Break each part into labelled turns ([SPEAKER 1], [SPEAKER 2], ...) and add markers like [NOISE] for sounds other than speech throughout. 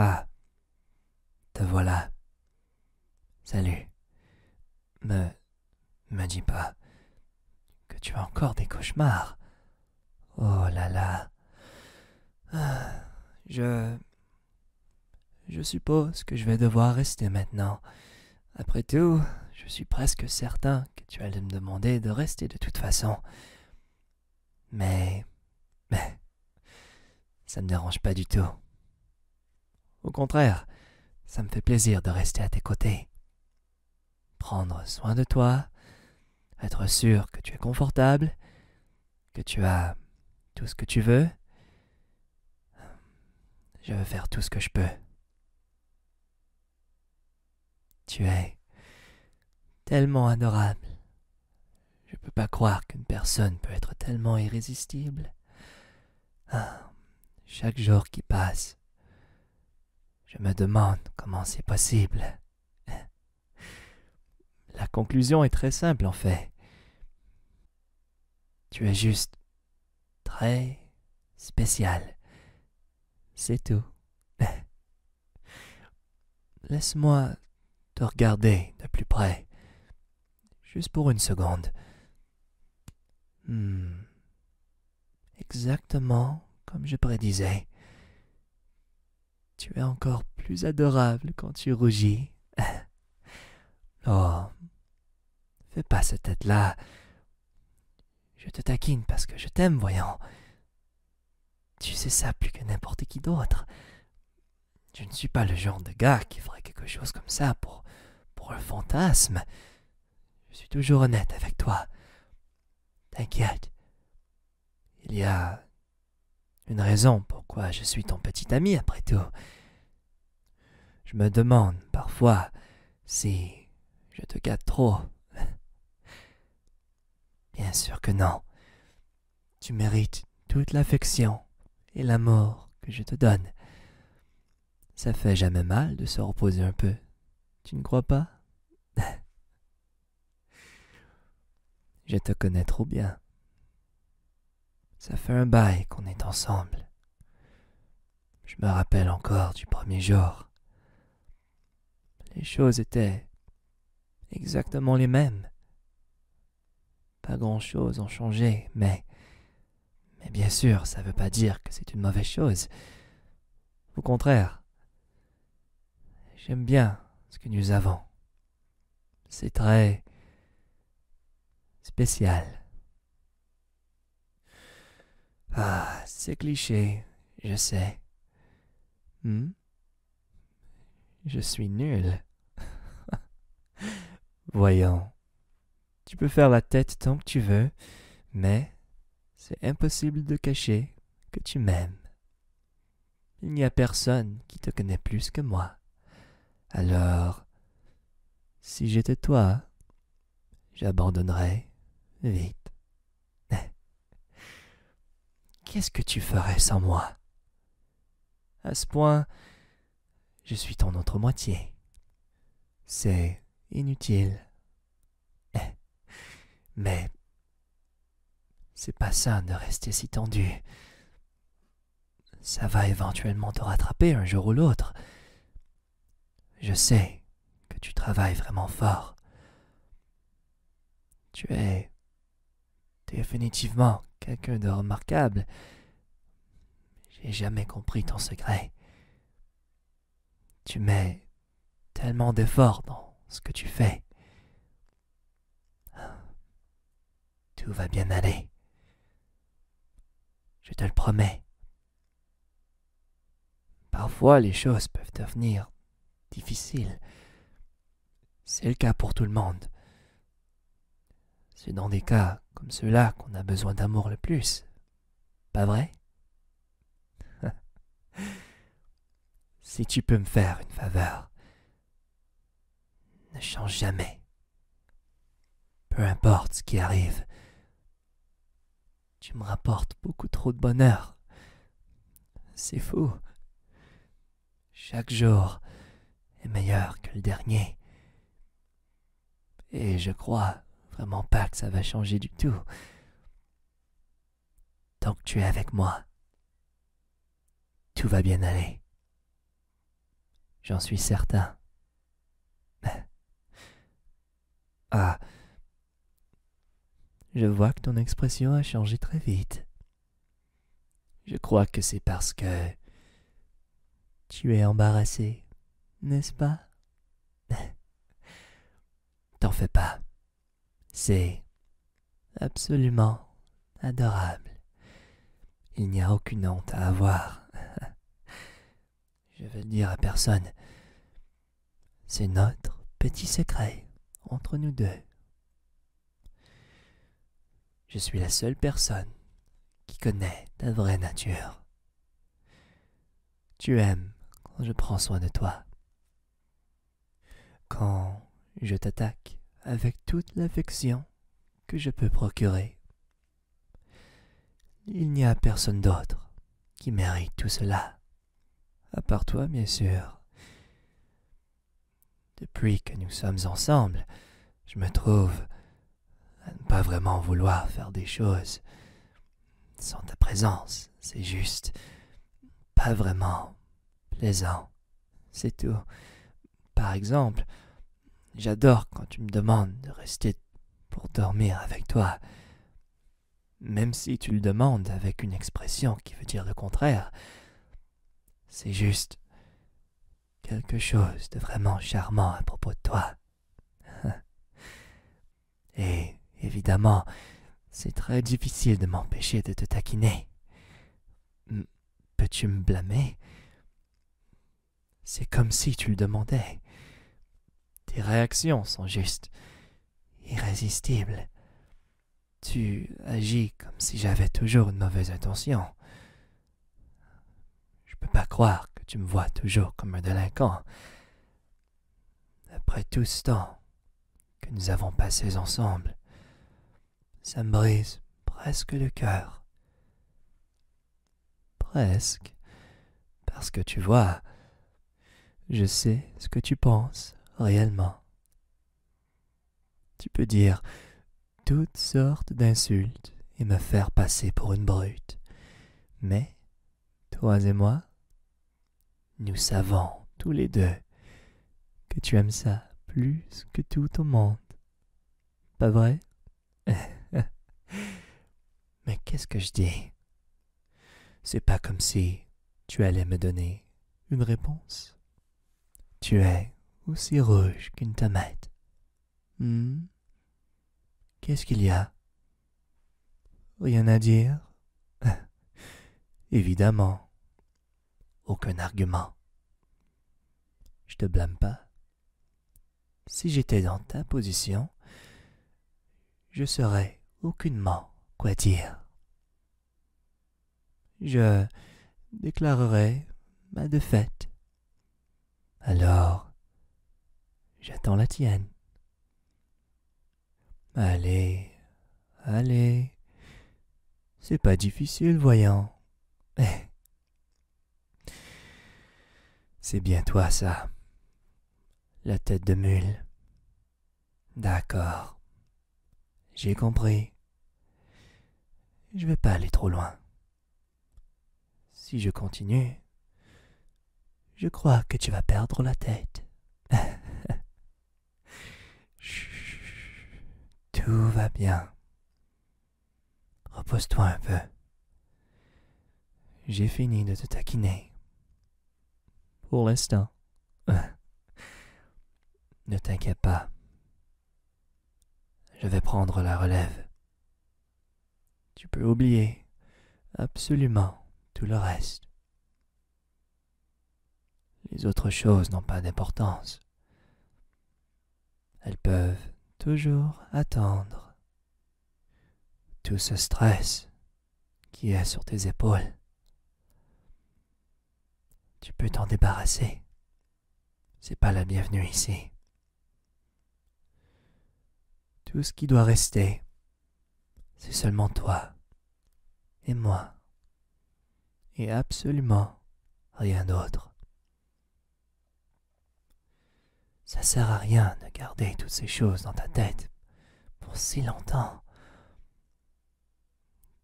[SPEAKER 1] Ah, te voilà. Salut. Me. me dis pas que tu as encore des cauchemars. Oh là là. Ah, je. Je suppose que je vais devoir rester maintenant. Après tout, je suis presque certain que tu allais me demander de rester de toute façon. Mais... Mais... Ça ne me dérange pas du tout. Au contraire, ça me fait plaisir de rester à tes côtés. Prendre soin de toi, être sûr que tu es confortable, que tu as tout ce que tu veux, euh, je veux faire tout ce que je peux. Tu es tellement adorable. Je ne peux pas croire qu'une personne peut être tellement irrésistible. Ah, chaque jour qui passe, je me demande comment c'est possible. La conclusion est très simple en fait. Tu es juste très spécial. C'est tout. [LAUGHS] Laisse-moi te regarder de plus près, juste pour une seconde. Hmm. Exactement comme je prédisais. Tu es encore plus adorable quand tu rougis. [LAUGHS] oh, Fais pas cette tête-là. Je te taquine parce que je t'aime, voyant. Tu sais ça plus que n'importe qui d'autre. Je ne suis pas le genre de gars qui ferait quelque chose comme ça pour, pour un fantasme. Je suis toujours honnête avec toi. T'inquiète. Il y a une raison pourquoi je suis ton petit ami après tout. Je me demande parfois si je te gâte trop. [LAUGHS] Bien sûr que non. Tu mérites toute l'affection et l'amour que je te donne. Ça fait jamais mal de se reposer un peu. Tu ne crois pas [LAUGHS] Je te connais trop bien. Ça fait un bail qu'on est ensemble. Je me rappelle encore du premier jour. Les choses étaient exactement les mêmes. Pas grand-chose ont changé, mais... Mais bien sûr, ça ne veut pas dire que c'est une mauvaise chose. Au contraire, j'aime bien ce que nous avons. C'est très spécial. Ah, c'est cliché, je sais. Hmm? Je suis nul. [LAUGHS] Voyons. Tu peux faire la tête tant que tu veux, mais c'est impossible de cacher que tu m'aimes. Il n'y a personne qui te connaît plus que moi. Alors, si j'étais toi, j'abandonnerais vite. [LAUGHS] Qu'est-ce que tu ferais sans moi À ce point, je suis ton autre moitié. C'est inutile. [LAUGHS] Mais c'est pas ça de rester si tendu. Ça va éventuellement te rattraper un jour ou l'autre. Je sais que tu travailles vraiment fort. Tu es définitivement quelqu'un de remarquable. J'ai jamais compris ton secret. Tu mets tellement d'efforts dans ce que tu fais. Tout va bien aller. Je te le promets. Parfois les choses peuvent devenir difficiles. C'est le cas pour tout le monde. C'est dans des cas comme ceux-là qu'on a besoin d'amour le plus. Pas vrai [LAUGHS] Si tu peux me faire une faveur, ne change jamais. Peu importe ce qui arrive, tu me rapportes beaucoup trop de bonheur. C'est fou. Chaque jour est meilleur que le dernier. Et je crois vraiment pas que ça va changer du tout. Tant que tu es avec moi, tout va bien aller. J'en suis certain. [LAUGHS] ah. Je vois que ton expression a changé très vite. Je crois que c'est parce que tu es embarrassé, n'est-ce pas [LAUGHS] T'en fais pas. C'est absolument adorable. Il n'y a aucune honte à avoir. [LAUGHS] Je veux dire à personne. C'est notre petit secret entre nous deux. Je suis la seule personne qui connaît ta vraie nature. Tu aimes quand je prends soin de toi. Quand je t'attaque avec toute l'affection que je peux procurer il n'y a personne d'autre qui mérite tout cela, à part toi, bien sûr. Depuis que nous sommes ensemble, je me trouve à ne pas vraiment vouloir faire des choses. Sans ta présence, c'est juste pas vraiment plaisant. C'est tout. Par exemple, J'adore quand tu me demandes de rester pour dormir avec toi. Même si tu le demandes avec une expression qui veut dire le contraire, c'est juste quelque chose de vraiment charmant à propos de toi. [LAUGHS] Et évidemment, c'est très difficile de m'empêcher de te taquiner. Peux-tu me blâmer c'est comme si tu le demandais. Tes réactions sont juste irrésistibles. Tu agis comme si j'avais toujours une mauvaise intention. Je ne peux pas croire que tu me vois toujours comme un délinquant. Après tout ce temps que nous avons passé ensemble, ça me brise presque le cœur. Presque. Parce que tu vois, je sais ce que tu penses réellement. Tu peux dire toutes sortes d'insultes et me faire passer pour une brute. Mais, toi et moi, nous savons tous les deux que tu aimes ça plus que tout au monde. Pas vrai [LAUGHS] Mais qu'est-ce que je dis C'est pas comme si tu allais me donner une réponse. Tu es aussi rouge qu'une tomate. Hmm? Qu'est-ce qu'il y a Rien à dire [LAUGHS] Évidemment. Aucun argument. Je te blâme pas. Si j'étais dans ta position, je serais aucunement quoi dire. Je déclarerais ma défaite. Alors, j'attends la tienne. Allez, allez. C'est pas difficile, voyons. [LAUGHS] C'est bien toi ça, la tête de mule. D'accord, j'ai compris. Je ne vais pas aller trop loin. Si je continue, je crois que tu vas perdre la tête. [LAUGHS] Chut, tout va bien. Repose-toi un peu. J'ai fini de te taquiner. Pour l'instant. [LAUGHS] ne t'inquiète pas. Je vais prendre la relève. Tu peux oublier absolument tout le reste. Les autres choses n'ont pas d'importance. Elles peuvent toujours attendre tout ce stress qui est sur tes épaules. Tu peux t'en débarrasser. C'est pas la bienvenue ici. Tout ce qui doit rester, c'est seulement toi et moi et absolument rien d'autre. Ça sert à rien de garder toutes ces choses dans ta tête pour si longtemps.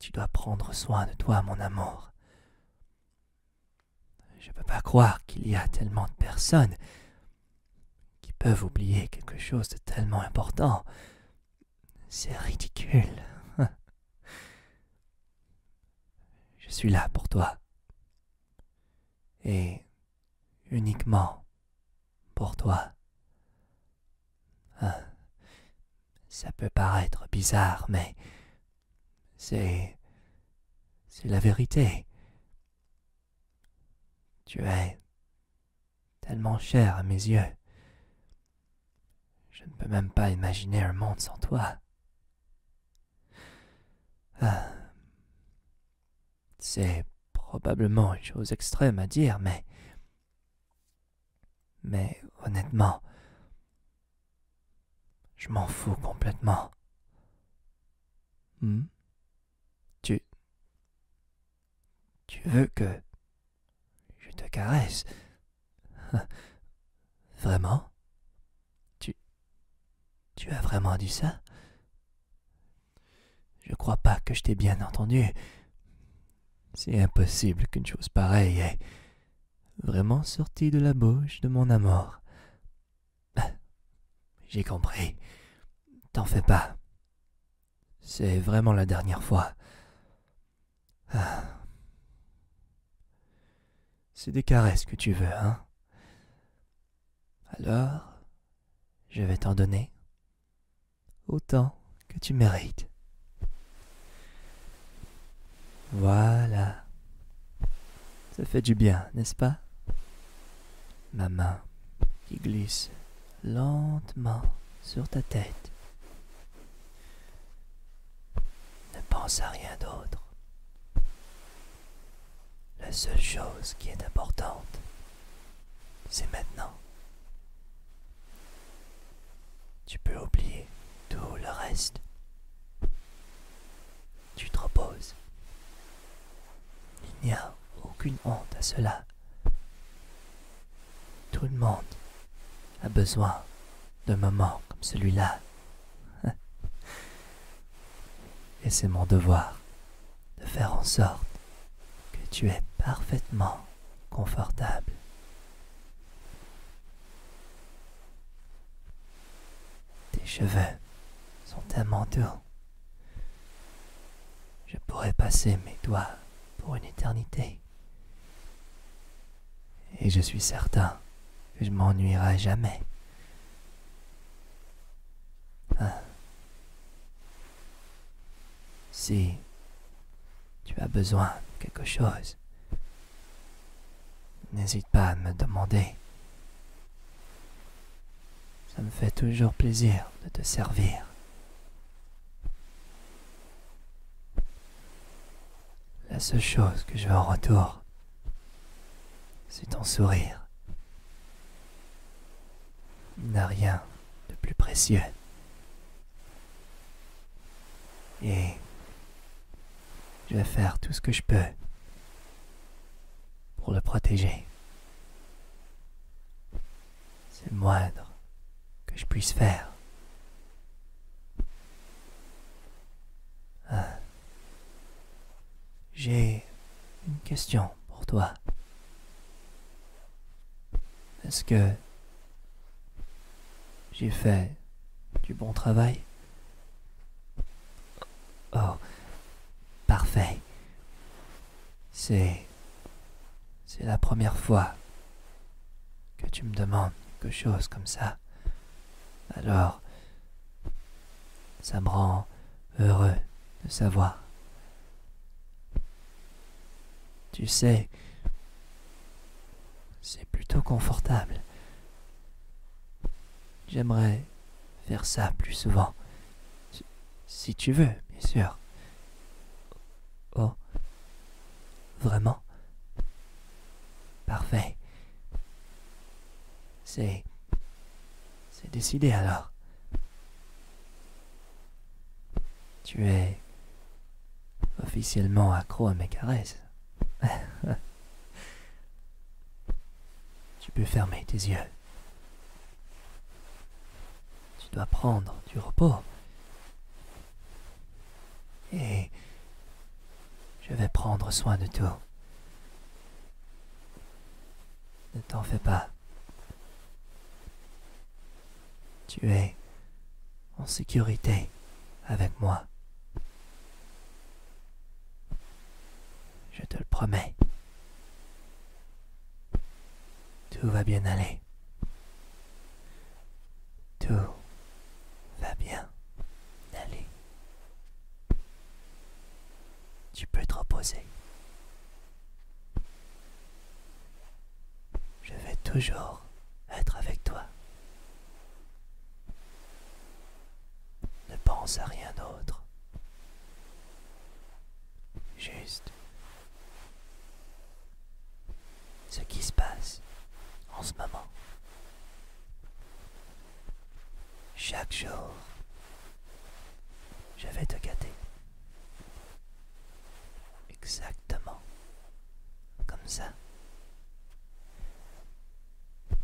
[SPEAKER 1] Tu dois prendre soin de toi, mon amour. Je ne peux pas croire qu'il y a tellement de personnes qui peuvent oublier quelque chose de tellement important. C'est ridicule. [LAUGHS] Je suis là pour toi. Et uniquement pour toi. Hein? Ça peut paraître bizarre, mais c'est... c'est la vérité. Tu es tellement cher à mes yeux. Je ne peux même pas imaginer un monde sans toi. Hein? C'est probablement une chose extrême à dire, mais... Mais honnêtement, je m'en fous complètement. Hmm? Tu... Tu veux que... Je te caresse [LAUGHS] Vraiment tu. Tu as vraiment dit ça Je crois pas que je t'ai bien entendu. C'est impossible qu'une chose pareille ait vraiment sorti de la bouche de mon amour. Ah, j'ai compris. T'en fais pas. C'est vraiment la dernière fois. Ah. C'est des caresses que tu veux, hein alors, je vais t'en donner autant que tu mérites. Voilà. Ça fait du bien, n'est-ce pas Ma main qui glisse lentement sur ta tête. Ne pense à rien d'autre. La seule chose qui est importante, c'est maintenant. Tu peux oublier tout le reste. Tu te reposes. Il n'y a aucune honte à cela. Tout le monde a besoin d'un moment comme celui-là. [LAUGHS] Et c'est mon devoir de faire en sorte que tu es parfaitement confortable. Tes cheveux sont tellement doux. Je pourrais passer mes doigts pour une éternité. Et je suis certain que je m'ennuierai jamais. Ah. Si tu as besoin de quelque chose, n'hésite pas à me demander. Ça me fait toujours plaisir de te servir. La seule chose que je veux en retour, c'est ton sourire. Il n'a rien de plus précieux. Et je vais faire tout ce que je peux pour le protéger. C'est le moindre que je puisse faire. J'ai une question pour toi. Est-ce que j'ai fait du bon travail Oh, parfait. C'est... C'est la première fois que tu me demandes quelque chose comme ça. Alors, ça me rend heureux de savoir. Tu sais, c'est plutôt confortable. J'aimerais faire ça plus souvent. Si tu veux, bien sûr. Oh. Vraiment Parfait. C'est. C'est décidé alors. Tu es officiellement accro à mes caresses. [LAUGHS] tu peux fermer tes yeux. Tu dois prendre du repos. Et je vais prendre soin de tout. Ne t'en fais pas. Tu es en sécurité avec moi. Je te le promets. Tout va bien aller. Tout va bien aller. Tu peux te reposer. Je vais toujours être avec toi. Ne pense à rien d'autre. Juste ce qui se passe en ce moment. Chaque jour, je vais te gâter. Exactement. Comme ça.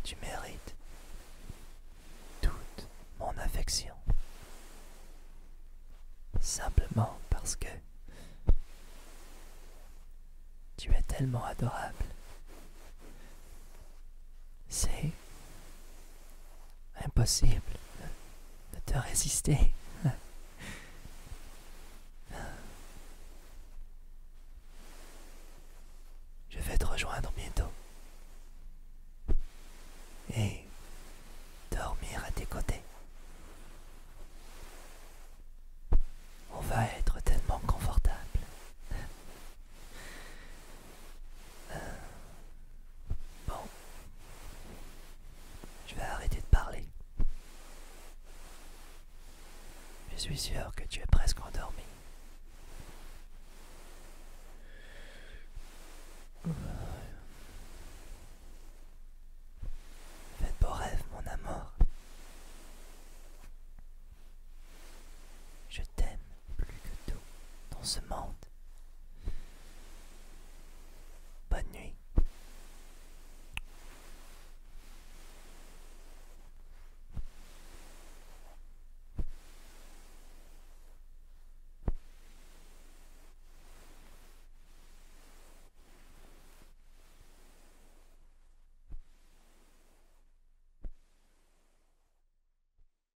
[SPEAKER 1] Tu mérites toute mon affection. Simplement parce que tu es tellement adorable. C'est impossible de te résister. Je vais te rejoindre bientôt et dormir à tes côtés. On va être tellement confortable euh, bon, je vais arrêter de parler. Je suis sûr que tu es presque endormi. Fais Faites beau rêves mon amour. Je t'aime plus que tout dans ce monde. Bonne nuit.